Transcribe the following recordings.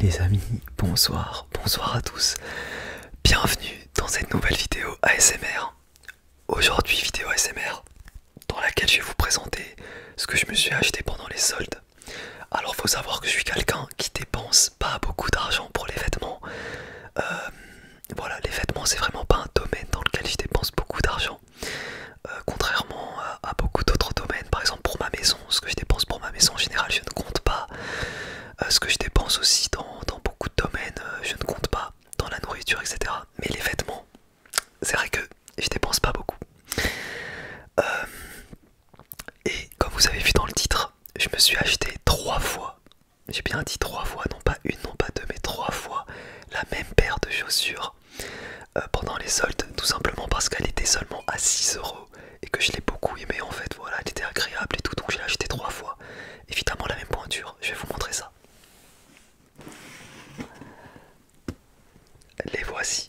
Les amis, bonsoir, bonsoir à tous. Bienvenue dans cette nouvelle vidéo ASMR. Aujourd'hui, vidéo ASMR dans laquelle je vais vous présenter ce que je me suis acheté pendant les soldes. Alors, faut savoir que je suis quelqu'un qui dépense pas beaucoup d'argent pour les vêtements. Euh, voilà, les vêtements, c'est vraiment pas un domaine dans lequel je dépense beaucoup d'argent, euh, contrairement à beaucoup d'autres domaines par exemple pour ma maison, ce que je dépense pour ma maison en général, je ne compte pas. Euh, ce que je dépense aussi dans, beaucoup de domaines, euh, je ne compte pas. Dans la nourriture, etc. Mais les vêtements, c'est vrai que je dépense pas beaucoup. Euh, et comme vous avez vu dans le titre, je me suis acheté trois fois. J'ai bien dit trois fois, non pas une, non pas deux, mais trois fois la même paire de chaussures pendant les soldes, tout simplement parce qu'elle était seulement à 6 euros et que je l'ai beaucoup aimé en fait, voilà, elle était agréable et tout, donc je l'ai acheté trois fois. Évidemment la même pointure, je vais vous montrer ça. Les voici.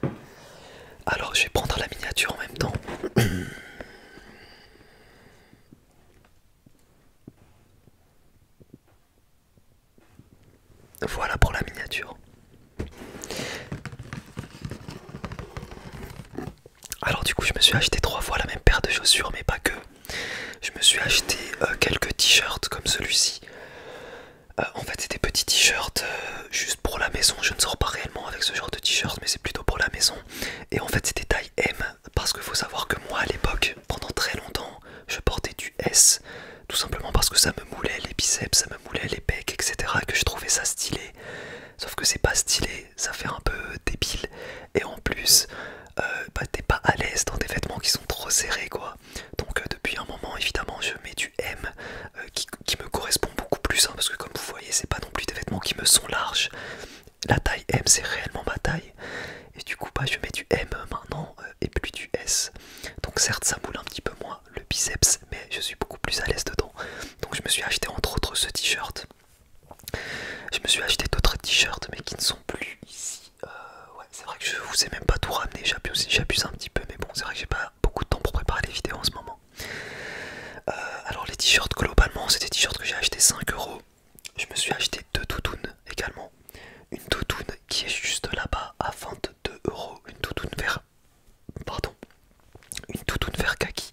Alors je vais prendre la miniature en même temps. Voilà pour la miniature. Alors du coup je me suis acheté trois fois la même paire de chaussures mais pas que. Je me suis acheté euh, quelques t-shirts comme celui-ci. Euh, en fait c'était des petits t-shirts euh, juste pour la maison. Je ne sors pas réellement avec ce genre de t shirts mais c'est plutôt pour la maison. Et en fait c'est des M parce que faut savoir que moi à l'époque pendant très longtemps, je portais du S, tout simplement parce que ça me moulait les biceps, ça me moulait les pecs, etc. Que je trouvais ça stylé. Sauf que c'est pas stylé, ça fait un peu débile. Et en plus, euh, bah, t'es pas à l'aise dans des vêtements qui sont trop serrés, quoi. Donc euh, depuis un moment, évidemment, je mets du M euh, qui, me correspond beaucoup plus, hein, parce que comme vous voyez, c'est pas non plus des vêtements qui me sont larges. La taille M, c'est réellement ma taille. Et du coup, bah, je mets du M maintenant euh, et plus du S. Donc certes, ça moule un petit peu moins le biceps, mais je suis beaucoup plus à l'aise dedans. Donc je me suis acheté entre autres ce t-shirt. Je me suis acheté d'autres t-shirts, mais qui ne sont plus ici. Euh, c'est vrai que je vous ai même pas tout ramené. J'abuse un petit peu, mais bon, c'est vrai que j'ai pas beaucoup de temps pour préparer les vidéos en ce moment. Euh, alors les t-shirts globalement c'est des t-shirts que j'ai acheté 5 euros je me suis acheté deux toutounes également. Une toutoune qui est juste là-bas à 22 euros. Une toutoune vert. Pardon. Une toutoune vert kaki.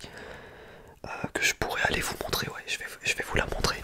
Euh, que je pourrais aller vous montrer. Ouais, je je vais vous la montrer.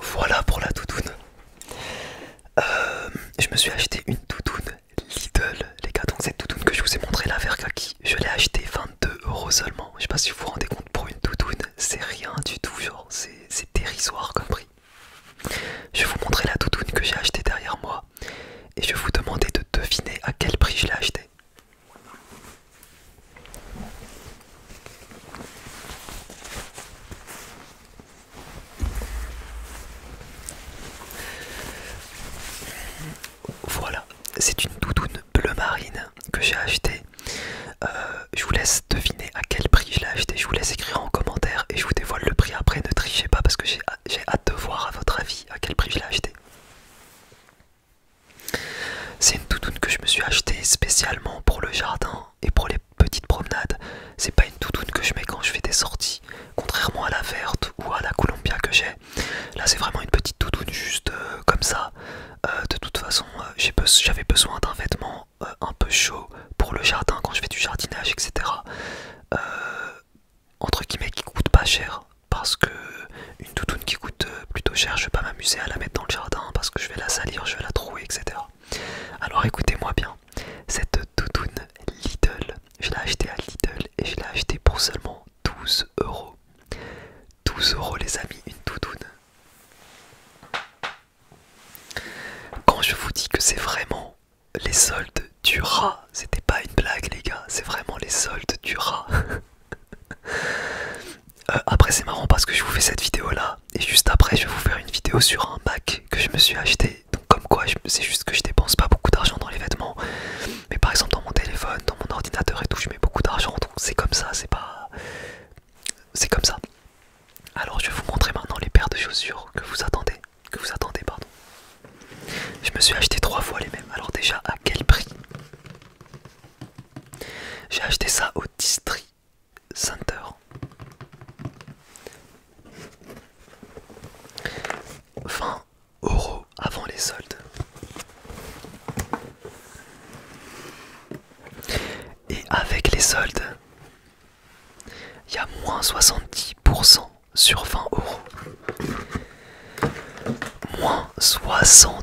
Voilà pour la toutoune. Euh, je me suis acheté une toutoune Lidl, les gars. Donc, cette toutoune que je vous ai montrée, là vers kaki, je l'ai acheté 22 euros seulement. Je sais pas si vous vous rendez compte, pour une toutoune, c'est rien du tout. Genre, c'est dérisoire comme prix. Je vais vous montrer la toutoune que j'ai acheté derrière moi et je vais vous demander de deviner à quel prix je l'ai achetée. Voilà, c'est une doudoune bleu marine que j'ai achetée. Euh, je vous laisse deviner à quel prix je l'ai acheté. Je vous laisse écrire en commentaire et je vous dévoile le prix après. Ne trichez pas parce que j'ai hâte de voir à votre avis à quel prix je l'ai acheté. C'est une doudoune que je me suis achetée spécialement pour le jardin et pour les petites promenades, c'est pas une toutoune que je mets quand je fais des sorties, contrairement à la verte ou à la Columbia que j'ai. Là, c'est vraiment une petite toutoune juste euh, comme ça. Euh, de toute façon, euh, j'avais besoin d'un vêtement un peu chaud pour le jardin quand je fais du jardinage, etc. entre guillemets, qui coûte pas cher parce que une doudoune qui coûte plutôt cher je vais pas m'amuser à la mettre dans le jardin parce que je vais la salir, je vais la trouer, etc. Alors écoutez-moi bien, cette doudoune Little je l'ai achetée à Little et je l'ai achetée pour seulement 12 euros. 12 euros les amis, une doudoune. Quand je vous dis que c'est vraiment les soldes du rat, c'était pas une blague les gars, c'est vraiment les soldes du rat. Euh, après c'est marrant parce que je vous fais cette vidéo là et juste après je vais vous faire une vidéo sur un bac que je me suis acheté. Donc comme quoi c'est juste que je dépense pas beaucoup d'argent dans les vêtements. Mais par exemple dans mon téléphone, dans mon ordinateur et tout, je mets beaucoup d'argent. Donc c'est comme ça, c'est pas... C'est comme ça. Alors je vais vous montrer maintenant les paires de chaussures que vous attendez. Que vous attendez, pardon. Je me suis acheté trois fois les mêmes. Alors déjà à quel prix j'ai acheté ça au District Center. 20 euros avant les soldes. Et avec les soldes, il y a moins 70% sur 20 euros. Moins 70%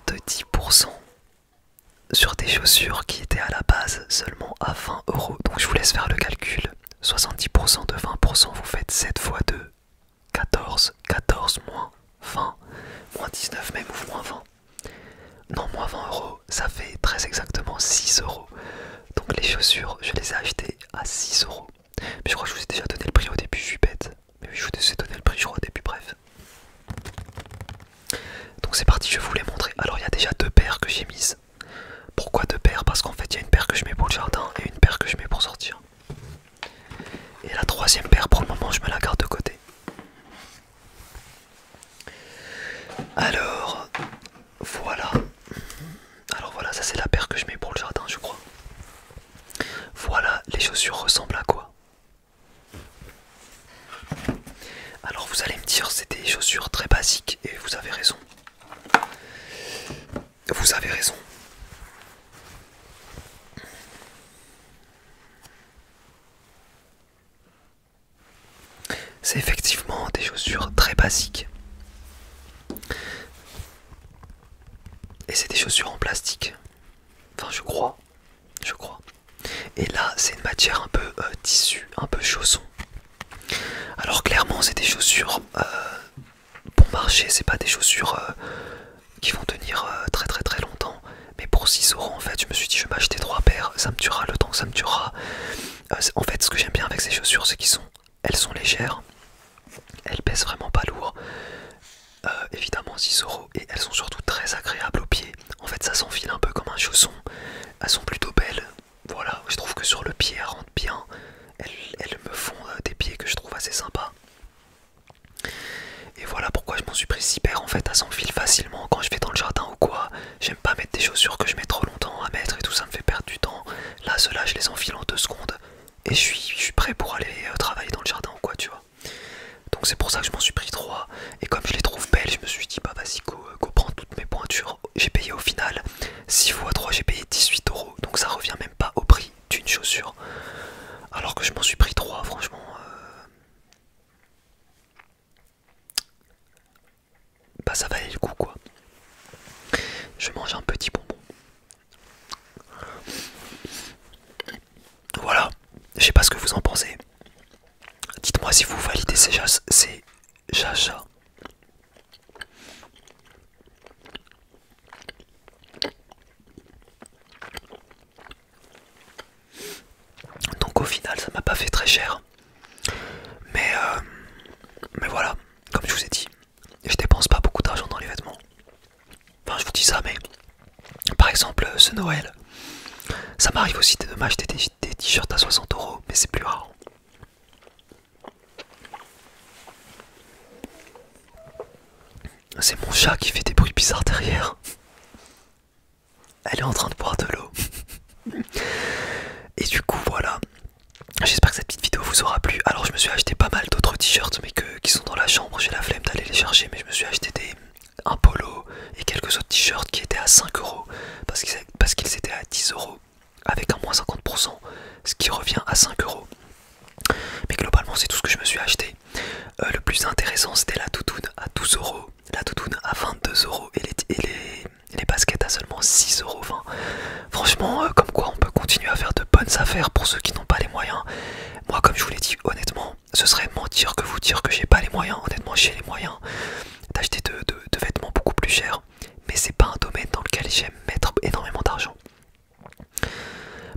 sur des chaussures qui étaient à la base seulement à 20 euros. Donc je vous laisse faire le calcul. 70% de 20%, vous faites 7 fois 2. 14, 14 moins 20, moins 19 même ou moins 20. Non, moins 20 euros, ça fait très exactement 6 euros. Donc les chaussures, je les ai achetées à 6 euros. Mais je crois que je vous ai déjà donné le prix au début, je suis bête. Mais je vous ai donné le prix, au début, bref. Donc c'est parti, je vous l'ai montrer. Alors il y a déjà deux paires que j'ai mises. Pourquoi deux paires Parce qu'en fait il y a une paire que je mets pour le jardin et une paire que je mets pour sortir. Et la troisième paire pour le moment je me la garde de côté. Alors voilà. Alors voilà, ça c'est la paire que je mets pour le jardin je crois. Voilà, les chaussures ressemblent à quoi alors vous allez me dire c'est des chaussures très basiques et vous avez raison. Vous avez raison. C'est effectivement des chaussures très basiques. Et c'est des chaussures en plastique. Enfin, je crois. Je crois. Et là, c'est une matière un peu euh, tissu, un peu chausson. Alors, clairement, c'est des chaussures euh, bon marché. C'est pas des chaussures euh, qui vont tenir très très très longtemps. Mais pour 6 euros, en fait, je me suis dit, je vais m'acheter 3 paires. Ça me durera le temps ça me durera. en fait, ce que j'aime bien avec ces chaussures, c'est qu'elles sont légères. Elles pèsent vraiment pas lourd. Euh, évidemment 6 euros et elles sont surtout très agréables aux pieds. En fait ça s'enfile un peu comme un chausson. Elles sont plutôt belles. Voilà, je trouve que sur le pied elles rentrent bien. Elles, me font euh, des pieds que je trouve assez sympas. Et voilà pourquoi je m'en suis pris en fait, à s'enfiler facilement quand je vais dans le jardin ou quoi. J'aime pas mettre des chaussures que je mets trop longtemps à mettre et tout ça me fait perdre du temps. Là cela, je les enfile en 2 secondes et je suis, prêt pour aller euh, travailler dans le jardin ou quoi, tu vois. Donc c'est pour ça que je m'en suis pris trois. Et comme je les trouve belles, je me suis dit, bah vas-y, go, euh, toutes mes pointures. J'ai payé au final 6 fois 3, j'ai payé 18 euros. Donc ça revient même pas au prix d'une chaussure. Alors que je m'en suis pris trois. franchement. Euh, bah ça valait le coup, quoi. Je mange un petit bonbon. Voilà, je sais pas ce que vous en pensez. Dites-moi si vous validez ces, ja ces jachas. Donc au final, ça m'a pas fait très cher. Mais, euh, mais voilà, comme je vous ai dit, je dépense pas beaucoup d'argent dans les vêtements. Enfin, je vous dis ça, mais par exemple, euh, ce Noël, ça m'arrive aussi de m'acheter des t-shirts à 60 euros, mais c'est plus rare. C'est mon chat qui fait des bruits bizarres derrière. Elle est en train de boire de l'eau. Et du coup, voilà. J'espère que cette petite vidéo vous aura plu. Alors, je me suis acheté pas mal d'autres t-shirts, mais que, qui sont dans la chambre. J'ai la flemme d'aller les chercher, mais je me suis acheté des, un polo et quelques autres t-shirts qui étaient à 5 euros parce qu'ils parce étaient à 10 euros avec un moins 50%, ce qui revient à 5 euros. Mais globalement, c'est tout ce que je me suis acheté. Euh, le plus intéressant, c'était la toutoune à 12 euros, la toutoune à 22 euros et les, baskets à seulement 6 euros. Franchement, euh, comme quoi on peut continuer à faire de bonnes affaires pour ceux qui n'ont pas les moyens. Moi, comme je vous l'ai dit, honnêtement, ce serait mentir que vous dire que j'ai pas les moyens. Honnêtement, j'ai les moyens d'acheter de, vêtements beaucoup plus chers, mais c'est pas un domaine dans lequel j'aime mettre énormément d'argent.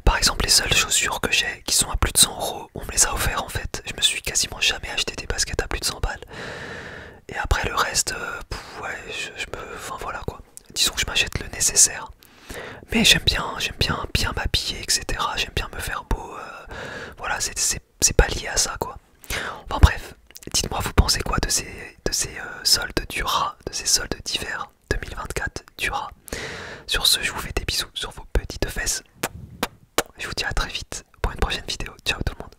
Par exemple, les seules chaussures que j'ai qui sont à plus de 100 euros, on me les a offertes en fait. Je me suis quasiment jamais acheté des baskets à plus de 100 balles. Et après le reste, euh, ouais, je, je me. Enfin voilà quoi disons que je m'achète le nécessaire. Mais j'aime bien, j'aime bien bien m'habiller, etc. J'aime bien me faire beau. Euh, voilà, c'est pas lié à ça, quoi. Enfin bref, dites-moi, vous pensez quoi de ces, de ces euh, soldes du rat, de ces soldes d'hiver 2024 du rat Sur ce, je vous fais des bisous sur vos petites fesses. Je vous dis à très vite pour une prochaine vidéo. Ciao tout le monde.